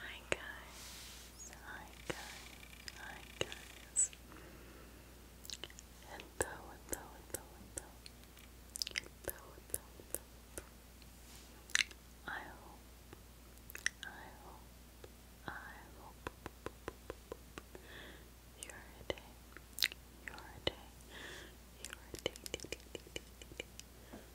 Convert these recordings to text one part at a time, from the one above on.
Hi guys, hi guys, hi guys. Hello, hello, hello, hello. Hello, hello, hello, hello. I hope, I hope, I hope your day, your day, your day, day, day, day, day, day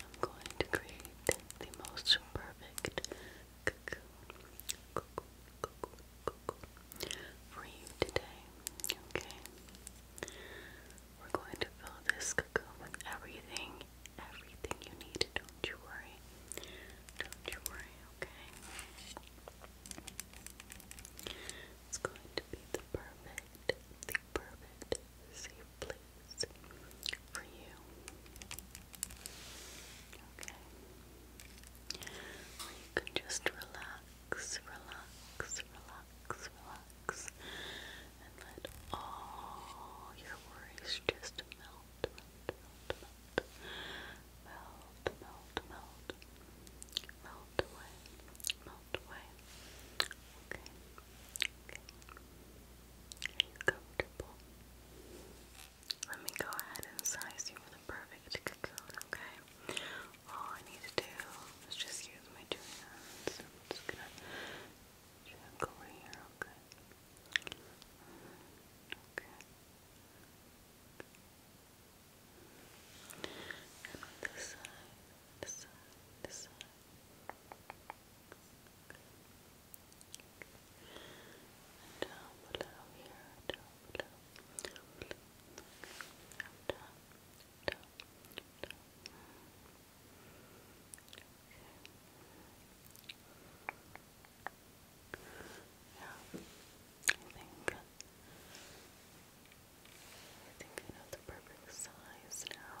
I'm going to create the most perfect cocoon, for you today. Okay? We're going to fill this cocoon with everything, everything you need. Don't you worry. Don't you worry, okay? It's going to be the perfect, the perfect, safely for you. Okay. you can just relax, relax, relax, relax, and let all your worries just melt, melt, melt, melt, melt, melt, melt, melt away, melt away. Okay. Okay comfortable. Let me go ahead and size you with a perfect cocoon, okay? All I need to do is just use my two hands. just gonna check over here, okay? Okay. this side, this side, this side down below here, down below, down below, down, down, down, down. Okay. Yeah, I think I think I know the perfect size now.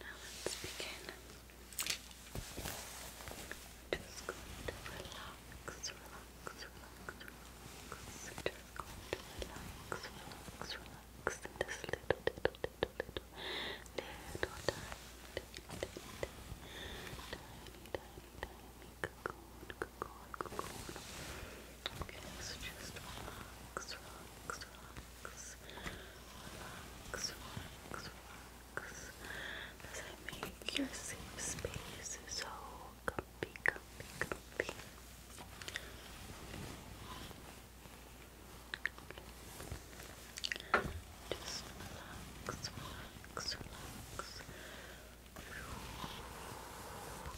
Now let's begin. just going to relax, relax, relax, relax. just going to relax, relax, relax in this little, little, little, little, little tiny, tiny, tiny cocoon, cocoon, cocoon. Okay, so just relax, relax, relax, relax, relax, relax, as I make your safe space so comfy, comfy, comfy. Just relax, relax, relax.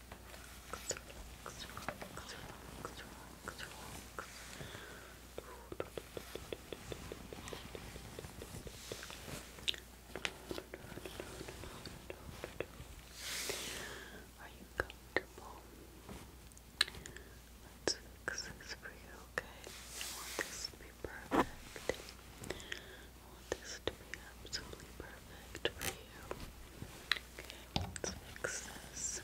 relax, Are you comfortable? Let's fix this for you, okay? I want this to be perfect. I want this to be absolutely perfect for you. Okay, let's fix this.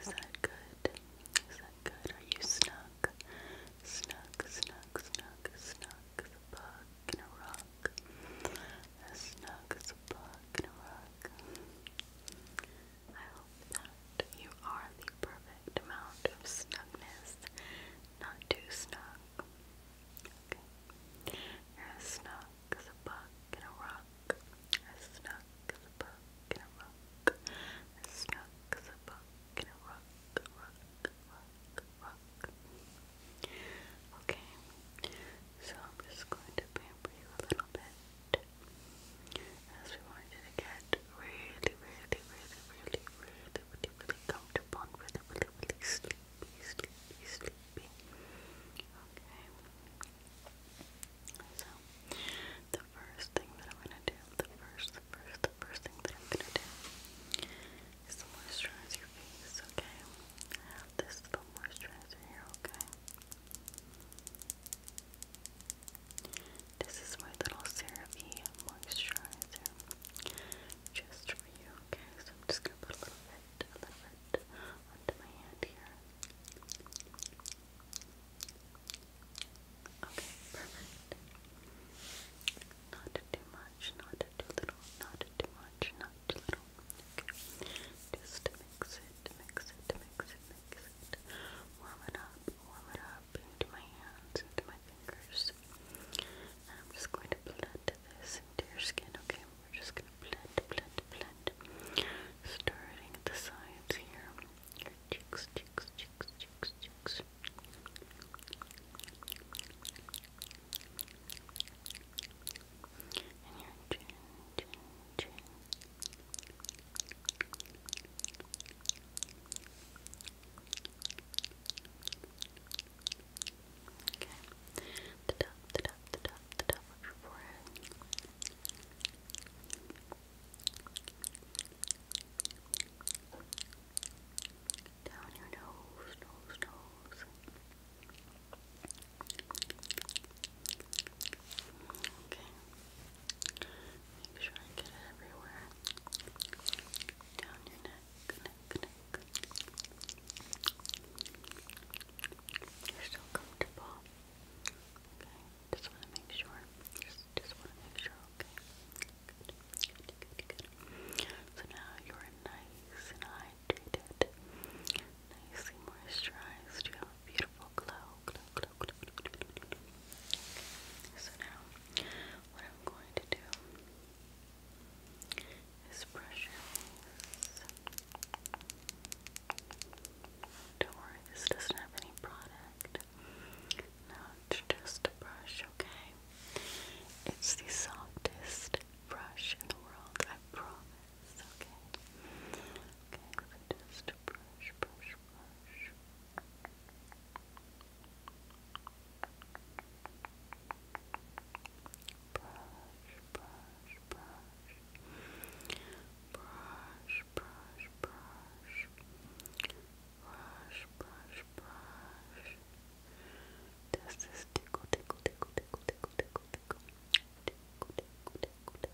Is that good? Is that good? Are you snug? Snug, snug, snug, snug as in a rock. As in a rock. I hope that you are the perfect amount of snugness, not too snug. You're as snug as a bug in a rock. As snug as a bug in a rock. As snug as a bug in a rock, Okay. So I'm just going to pamper you a little bit as we want you to get really, really, really, really, really, really, really comfortable and really, really, really sleepy, sleepy, sleepy. Okay. So, the first thing that I'm gonna do, the first, the first, the first thing that I'm gonna do is to moisturize your face, okay? I have this little moisturizer here, okay? This is my little CeraVe moisturizer just for you, So I'm just gonna put a little bit, a little bit onto my hand here. Okay, Not too much, not too little, not too much, not too little. Okay. Just mix it, mix it, mix it, mix it. Warm it up, warm it up into my hands, into my fingers. I'm just going to blend this into your skin, okay? We're just going to blend, blend, blend. Starting at the sides here. Your cheeks, cheeks, cheeks, cheeks, cheeks. And your chin, chin, chin. Okay. The top, the top, the top, the top of your forehead. Down your nose, nose, nose. Okay. Make sure I get it everywhere. Down your neck, You're so comfortable. Okay, just want to make sure. Just, just want to make sure, okay? So now you're nice and hydrated, nicely moisturized. You have beautiful glow. So now, what I'm going to do is brush Don't worry, this doesn't have any product. No, it's just a brush, okay? It's the softest brush in the world, I promise, okay? Okay, just brush, brush, brush. Brush, brush, brush. Brush, brush, brush. Brush, brush, brush. This is tickle, tickle, tickle, tickle, tickle, tickle, tickle. Tickle, tickle, tickle, tickle,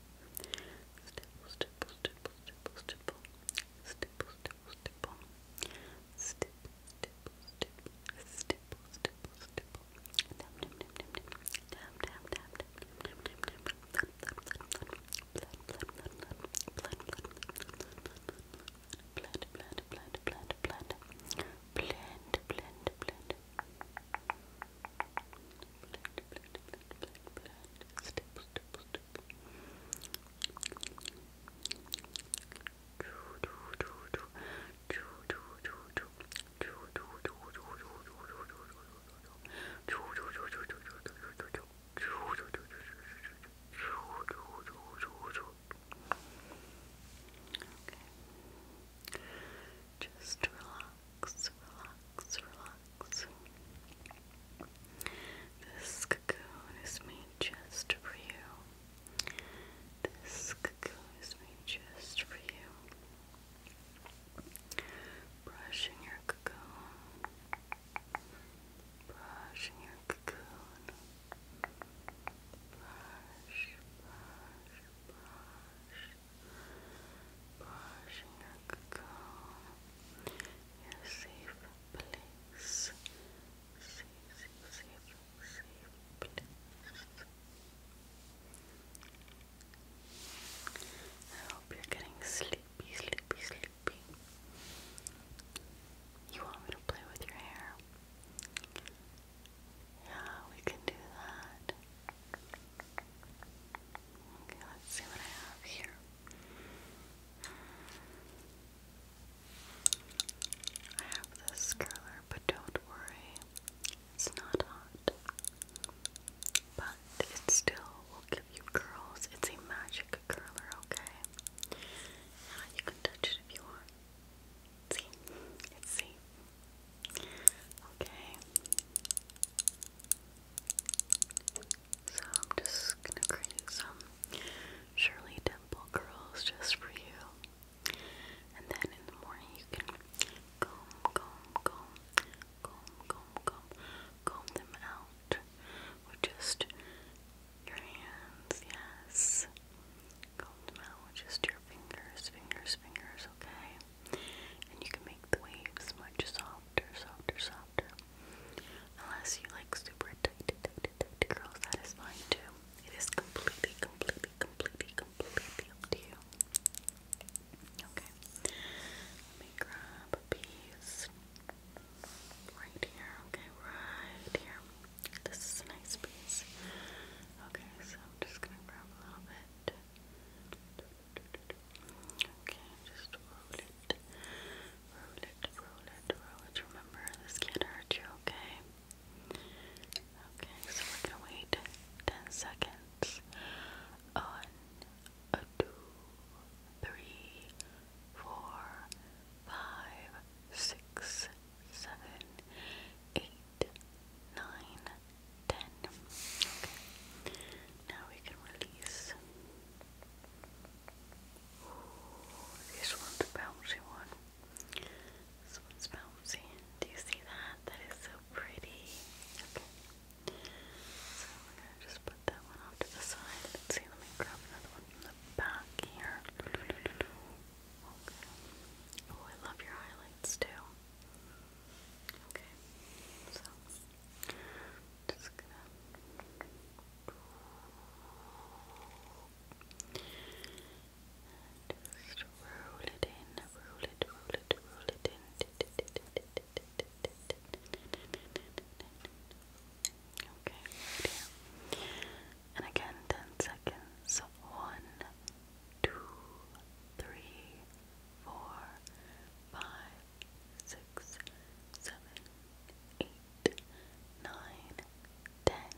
Stipple, stipple, stipple, stipple, stipple. Stipple, stipple, stipple. Stipple, stipple, stipple. Stipple, stipple, stipple. Dab, dab, dab, dab, dab. Dab, dab, dab, dab, dab, dab, dab. Blood, blood, blood, blood. Blood, blood, blood, blood. Blood, blood, blood, blood, blood, blood. Blood, blood, blood, blood, blood. Blend, blend, blend. Okay. Just relax relax, relax. This cocoon is made just for you. This cocoon is made just for you. Brushing your cocoon. Brushing your cocoon. Brush, brush, brush. Brushing your cocoon. Your safe place. Safe, safe, safe, safe place. I hope you're getting sleepy, sleepy, sleepy. You want me to play with your hair? Yeah, we can do that. Okay, let's see what I have here. I have this curler, but don't worry, it's not hot. But it still will give you curls. It's a magic curler, okay? you can touch it if you want. See? It's safe. Okay. So I'm just gonna create some Shirley Temple curls just for you. And then in the morning you can comb, comb, comb, comb, comb, comb, comb them out with just your hands, yes. Comb them out just your fingers, fingers, fingers, okay? And you can make the waves much softer, softer, softer. Unless you like super tight, tight, tight girls, that is fine too. It is completely, completely, completely, completely up to you. Okay. Let me grab a piece right here. Okay, right here. This is a nice piece. Okay, so I'm just gonna grab a little bit. Okay, just roll it, roll it, roll it, roll it. Remember, this can't hurt you, okay? Okay, so we're gonna wait 10 seconds on a two, three, four, five, six, seven, eight, nine, ten. Okay. Now we can release. this one's a bouncy one. This one's bouncy. Do you see that? That is so pretty. Okay. So we're gonna just put that one off to the side. Let's see, let me grab another one from the back here. Oh, I love your highlights too. Okay. So just gonna roll it in, roll it, roll it, roll it in. Okay, And again, ten seconds. One, two, three, four, five six, seven, eight, nine, ten.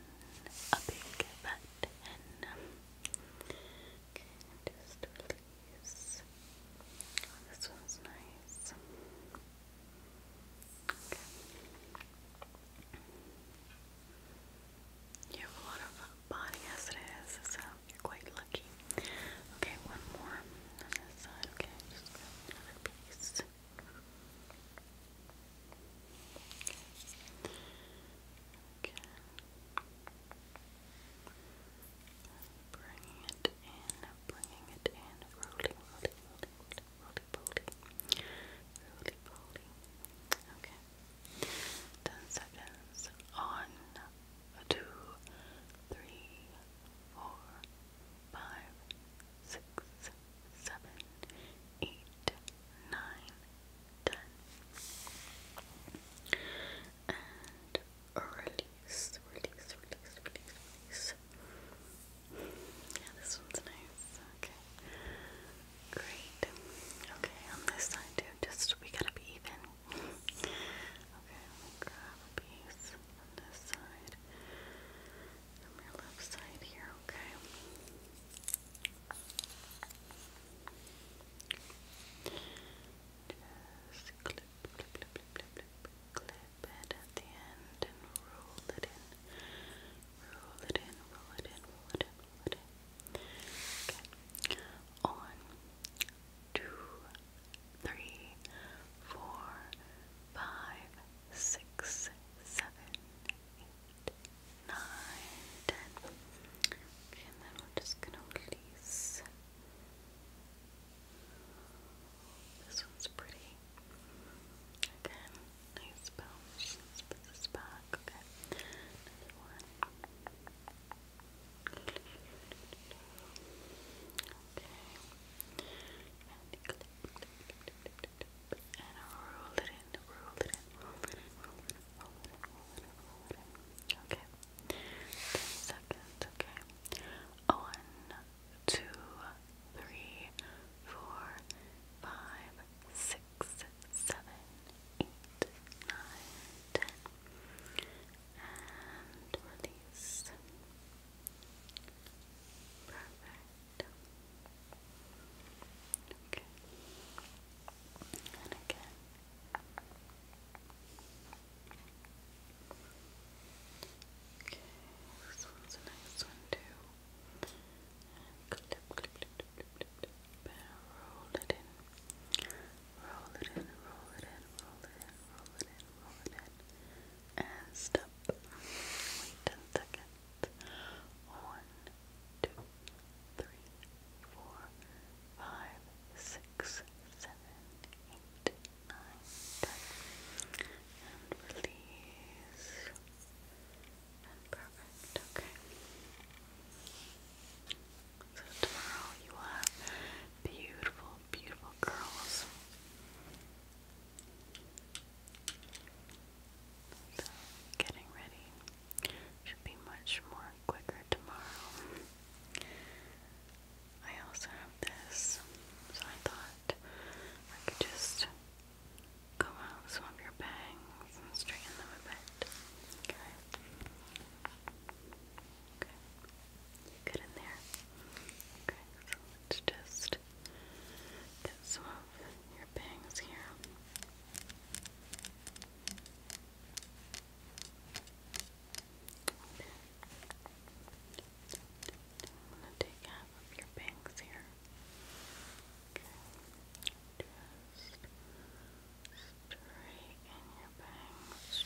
A big fat Okay, just release. Oh, this one's nice. You have a lot of body as it is, so you're quite lucky. Okay, one more Okay, just another piece. Okay. Bringing it in, bringing it in, rolling, rolling, rolling, rolling, rolling, rolling, rolling. Okay. Ten seconds on. Two, three, four, five, six, seven, eight, nine, ten. And release, release, release, release, release. Yeah, this one's nice. Okay. Great. Okay, on this side too, just we gotta be even okay, let grab a piece from this side, from your left side here, okay? Just clip, clip, clip, clip, clip, clip, clip it at the end and roll it in, roll it in, roll it in, roll it in, roll it in. Okay, on to three, four, five, six, seven, eight, nine, ten. Okay, and then we're just gonna release. This one's pretty. Again, nice bounce. let Okay. one and you it in, roll it in, roll it in, roll it in, roll it in, roll it in, roll it in. Okay. Ten okay. One, two, three, four, five, six, seven, eight, nine, ten. And release. Perfect. Okay. And again. Okay, this one's a nice one too. And clip, clip, clip, clip, clip, clip, roll it in. Roll it in, roll it in, roll it in, roll it in and roll Wait ten seconds. One, two, three, four, five, six, seven, eight, nine, ten. And release. And perfect. Okay. So tomorrow you will beautiful beautiful curls. getting ready should be much more quicker tomorrow. I also have this, so I thought I could just go out some of your bangs and straighten them a bit. Okay. Okay. Good in there. Okay, so let's just get some of your bangs here. I'm gonna take half of your bangs here. Okay. Just straighten your bangs.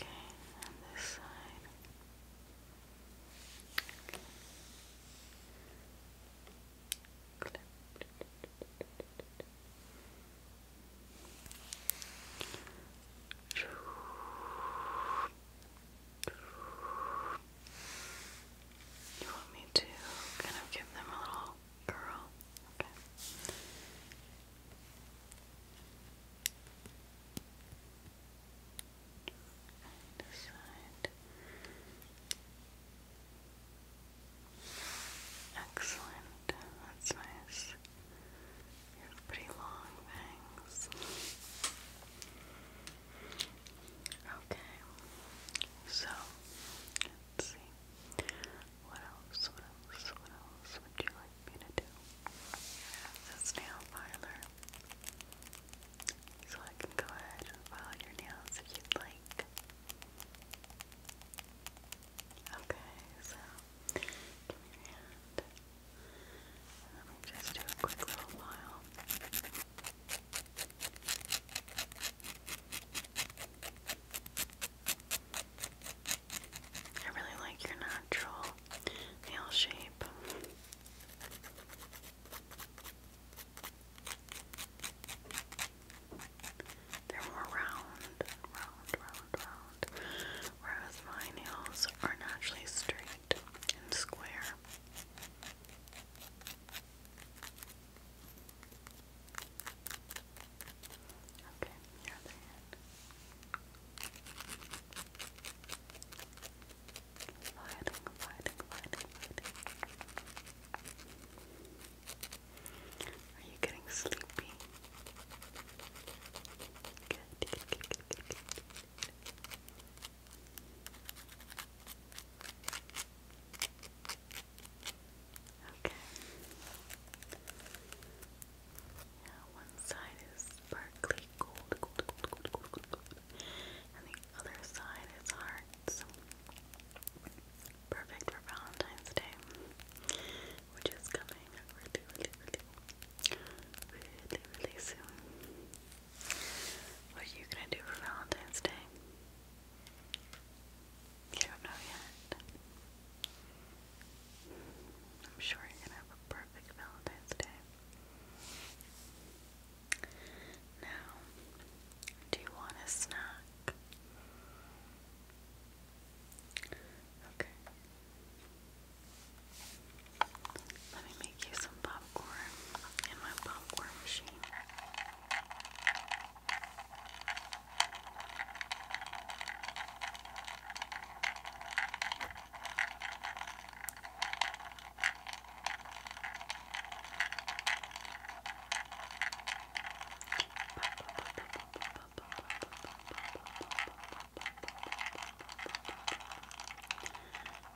Okay, and this side. Okay. Clip. You want me to kind of give them a little curl? Okay. this side. Excellent. That's nice. You have pretty long bangs. Okay. So let's see. What else? What else? What else would you like me to do? This nail filer. So I can go ahead and file your nails if you'd like. Okay, so give me your hand. let me just do a quick little file. I really like your natural nail shape. They're more round, round, round, round, whereas my nails are naturally straight and square. Okay, your other hand. Gliding, gliding, gliding, gliding. Are you getting sleepy? Good, good, good, good, good, good. Okay. Now one side is sparkly gold, gold, gold, gold, gold, gold, gold. and the other side is hearts. Perfect for Valentine's Day, which is coming really, really, really, really, really soon. What are you gonna do for Valentine's Day? You don't know yet. I'm sure you're gonna have a perfect Valentine's Day. Now, do you want a snack? Okay. Let me make you some popcorn in my popcorn machine.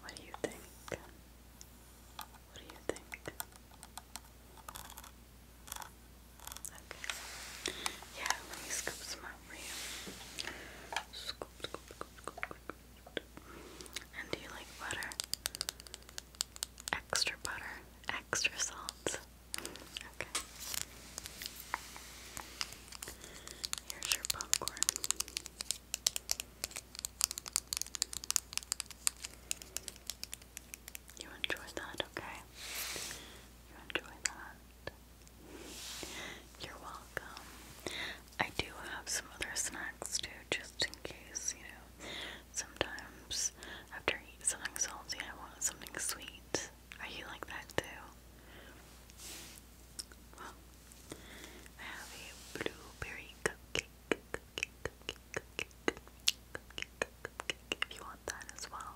What do you think? What do you think? Yeah, let me scoop some up for you. Scoop, scoop, scoop, scoop, scoop. And do you like butter? Extra butter, extra salt. Okay. Here's your popcorn. You enjoy that, okay? You enjoy that. You're welcome. I do have some other snacks too, just in case, you know. Sometimes after I something salty, I want something sweet. Are oh, you like that too? I have a blueberry cupcake. if you want that as well.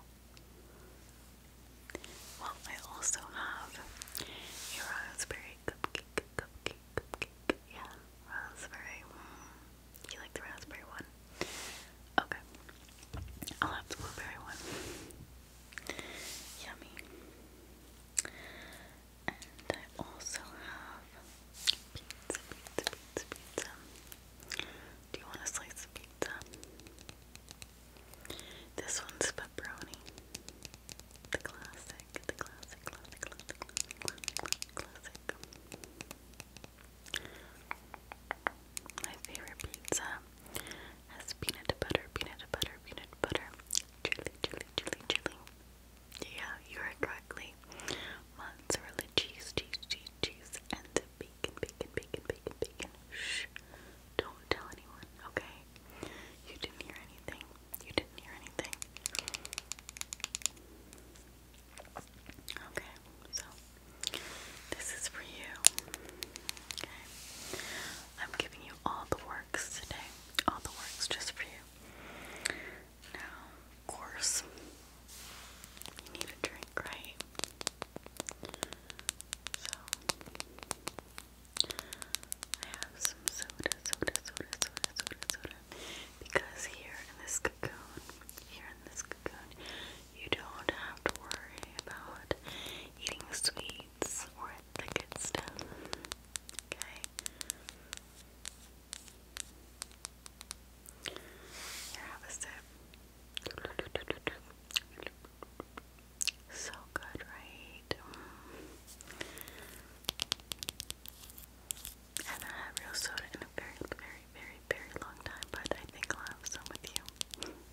Well, I also have a raspberry cupcake, Yeah, raspberry. Mm. You like the raspberry one? Okay. I'll have the blueberry one. Yummy. And I also have pizza, pizza, pizza, pizza. Do you want a slice of pizza? This one's pepperoni. The classic, the classic, classic, classic, classic, My favorite pizza has peanut butter, peanut butter, peanut butter, chili, chili, chili, chili. Yeah, you heard correctly. Mozzarella cheese, cheese, cheese, cheese, and bacon, bacon, bacon, bacon, bacon. Shh, don't tell anyone, okay? You didn't hear anything. You didn't hear anything. Okay, so this is for you. Okay. I'm giving you all the works today. All the works just for you. Now, of course, you need a drink, right? So, I have some soda, soda, soda, soda, soda, soda. Because here in this cocoon, here in this cocoon, you don't have to worry about eating sweet seeds or the good stuff. Okay. Here, have a sip. So good, right? And I have real soda in a very, very, very, very long time, but I think I'll have some with you.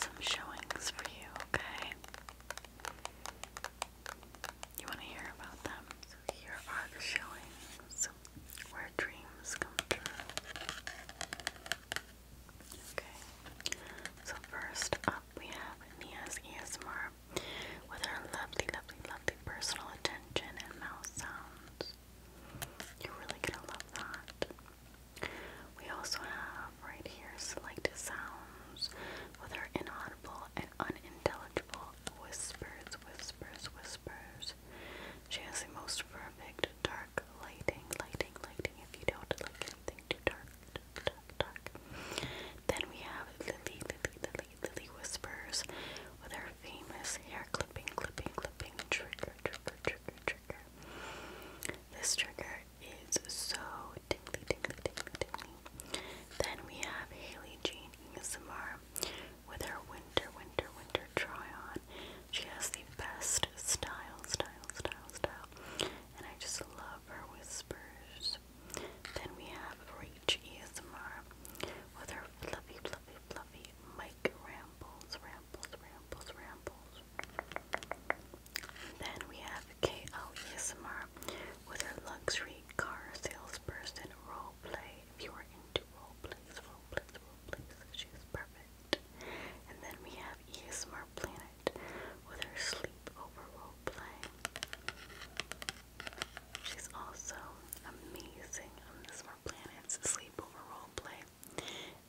some showings for you, okay? You want to hear about them? So here are the showings where dreams come true. Okay. So first up we have Nia's ESMR with her lovely, lovely, lovely personal attention and mouth sounds. You're really gonna love that. We also have right here selected sounds with our inaudible and unintelligible whispers, whispers, whispers. She has the most perfect dark lighting, lighting, lighting. If you don't like anything too dark, dark, dark. Then we have Lily, Lily, Lily, Lily whispers with her famous hair clipping, clipping, clipping trigger, trigger, trigger, trigger. This trigger is so tingly, tingly, tingly, tingly. Then we have Haley Jean ASMR with her winter, winter, winter try on. She has the best style, style, style, style. And I just love her whispers. Then we have Reach ASMR with her fluffy, fluffy, fluffy mic rambles, rambles rambles, Then we have K.O. ASMR with her luxury car salesperson role roleplay. If you are into roleplays, roleplays, roleplays, she's perfect. And then we have ASMR Planet with her sleepover roleplay. She's also amazing on ASMR Planet's sleepover roleplay.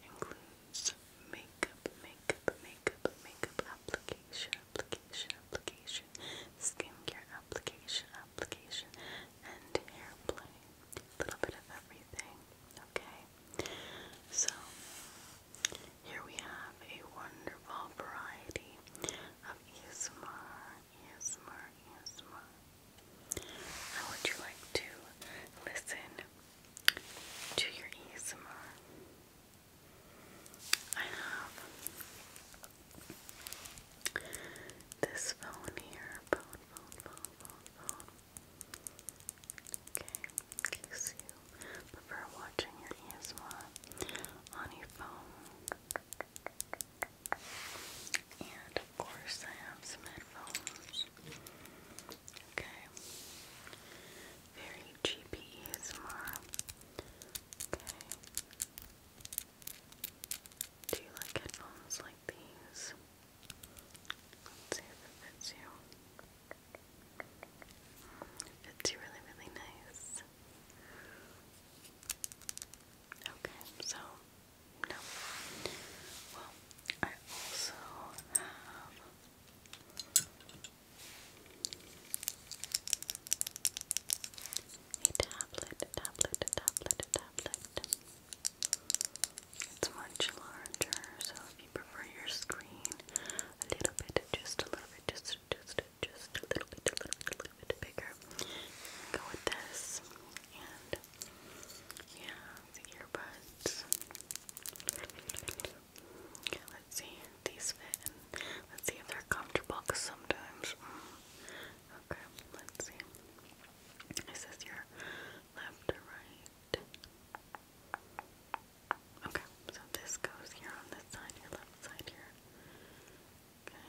Includes makeup, makeup, makeup, makeup application, application, application, skincare application, application, and hair little bit of everything. Okay? So here we have a wonderful variety of ASMR, ASMR, ASMR how would you like to listen to your ASMR? I have this phone here. Okay, in you prefer watching your ASMR on your phone. And of course, I have some headphones. Okay. Very cheapy ASMR. Okay. Do you like headphones like these? Let's see if it fits you. fits you really, really nice. Okay, so no. Well, I also have a tablet, tablet, tablet, tablet. It's much larger, so if you prefer your screen a little bit, just a little bit, just just just a little bit, a little bit, a little bit bigger, go with this. And yeah, the earbuds. let's see if these fit let's see if they're comfortable because sometimes. Mm, okay, let's see. Is your left or right? Okay, so this goes here on this side, your left side here. Okay,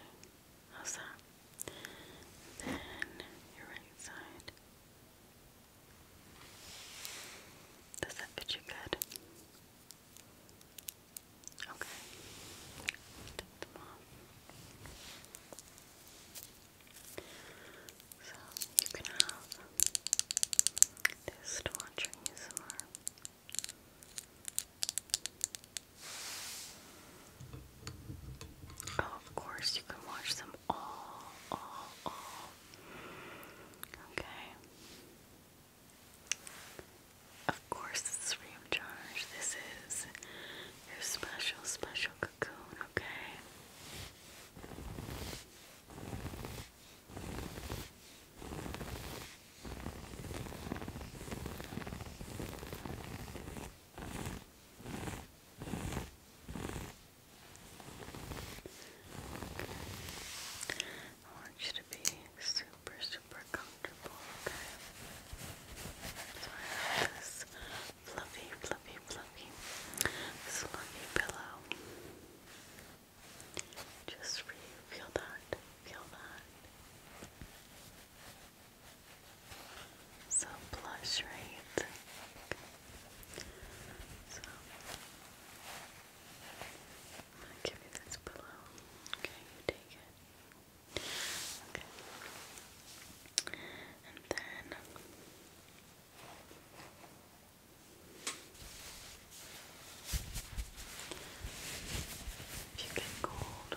how's that? Then your right side. Does that fit you good? Okay. So you can have this to watch oh, of course, you can watch them all, all Oh. Okay. Of course, this is This is your special, special cocoon, Okay. Okay. I want you to be super, super comfortable, okay? So I have this fluffy, fluffy, fluffy, fluffy pillow. Just for you. Feel that. Feel that. So blush, right? So I'm gonna give you this pillow. Okay, you take it. Okay. And then if you get cold,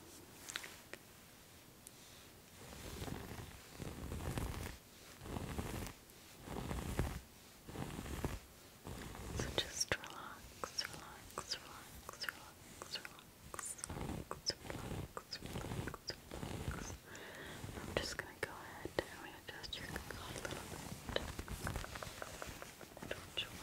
So just relax, relax, relax, relax, relax, relax, relax, relax, relax. I'm just gonna go ahead and readjust your coat Don't you mind?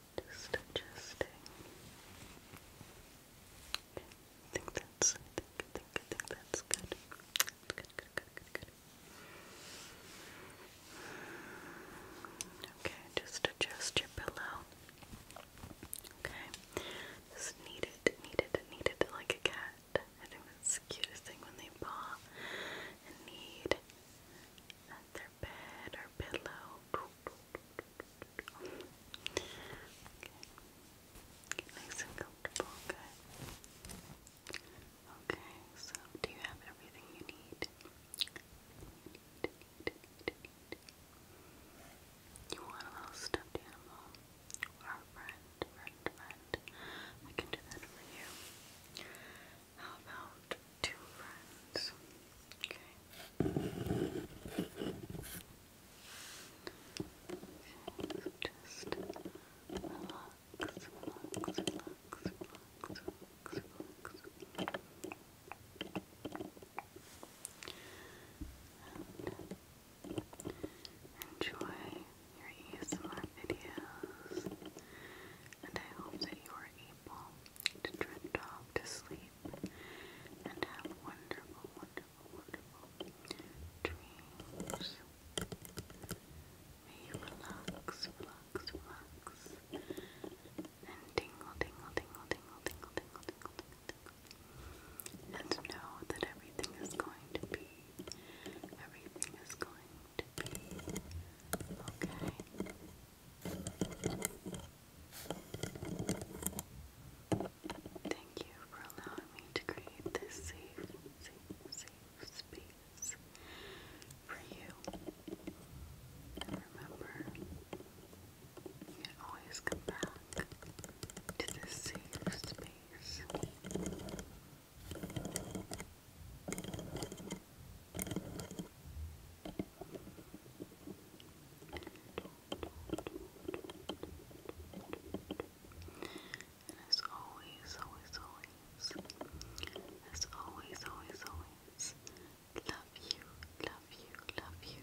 Just adjusting. Okay. I think that's. I think. I think. I think that's good. good. Good. Good. Good. Good. Okay. Just adjust your pillow. Okay. Just knead it. Knead it. Knead it like a cat. I think that's the cutest thing when they paw and knead at their bed or pillow. Okay. nice and comfortable, good. Okay, so do you have everything you need. You want a little stuffed animal? Our friend, friend, friend. I can do that for you. How about two friends. Okay. Just relax, relax, relax, relax, relax, relax. And enjoy your ASMR videos, and I hope that you are able to drift off to sleep and have wonderful, wonderful, wonderful dreams. May you relax, relax, relax, and tingle, tingle, tingle, tingle, tingle, tingle, tingle, tingle, tingle, and know that everything is going to be, everything is going to be okay. Thank you for allowing me to create this safe, safe, safe space for you. And remember, you can always come back to this safe space. And as always, always, always, as always, always, always, love you, love you, love you.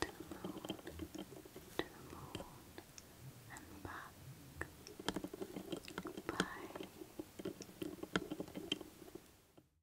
To the moon, to the moon, and back. Bye.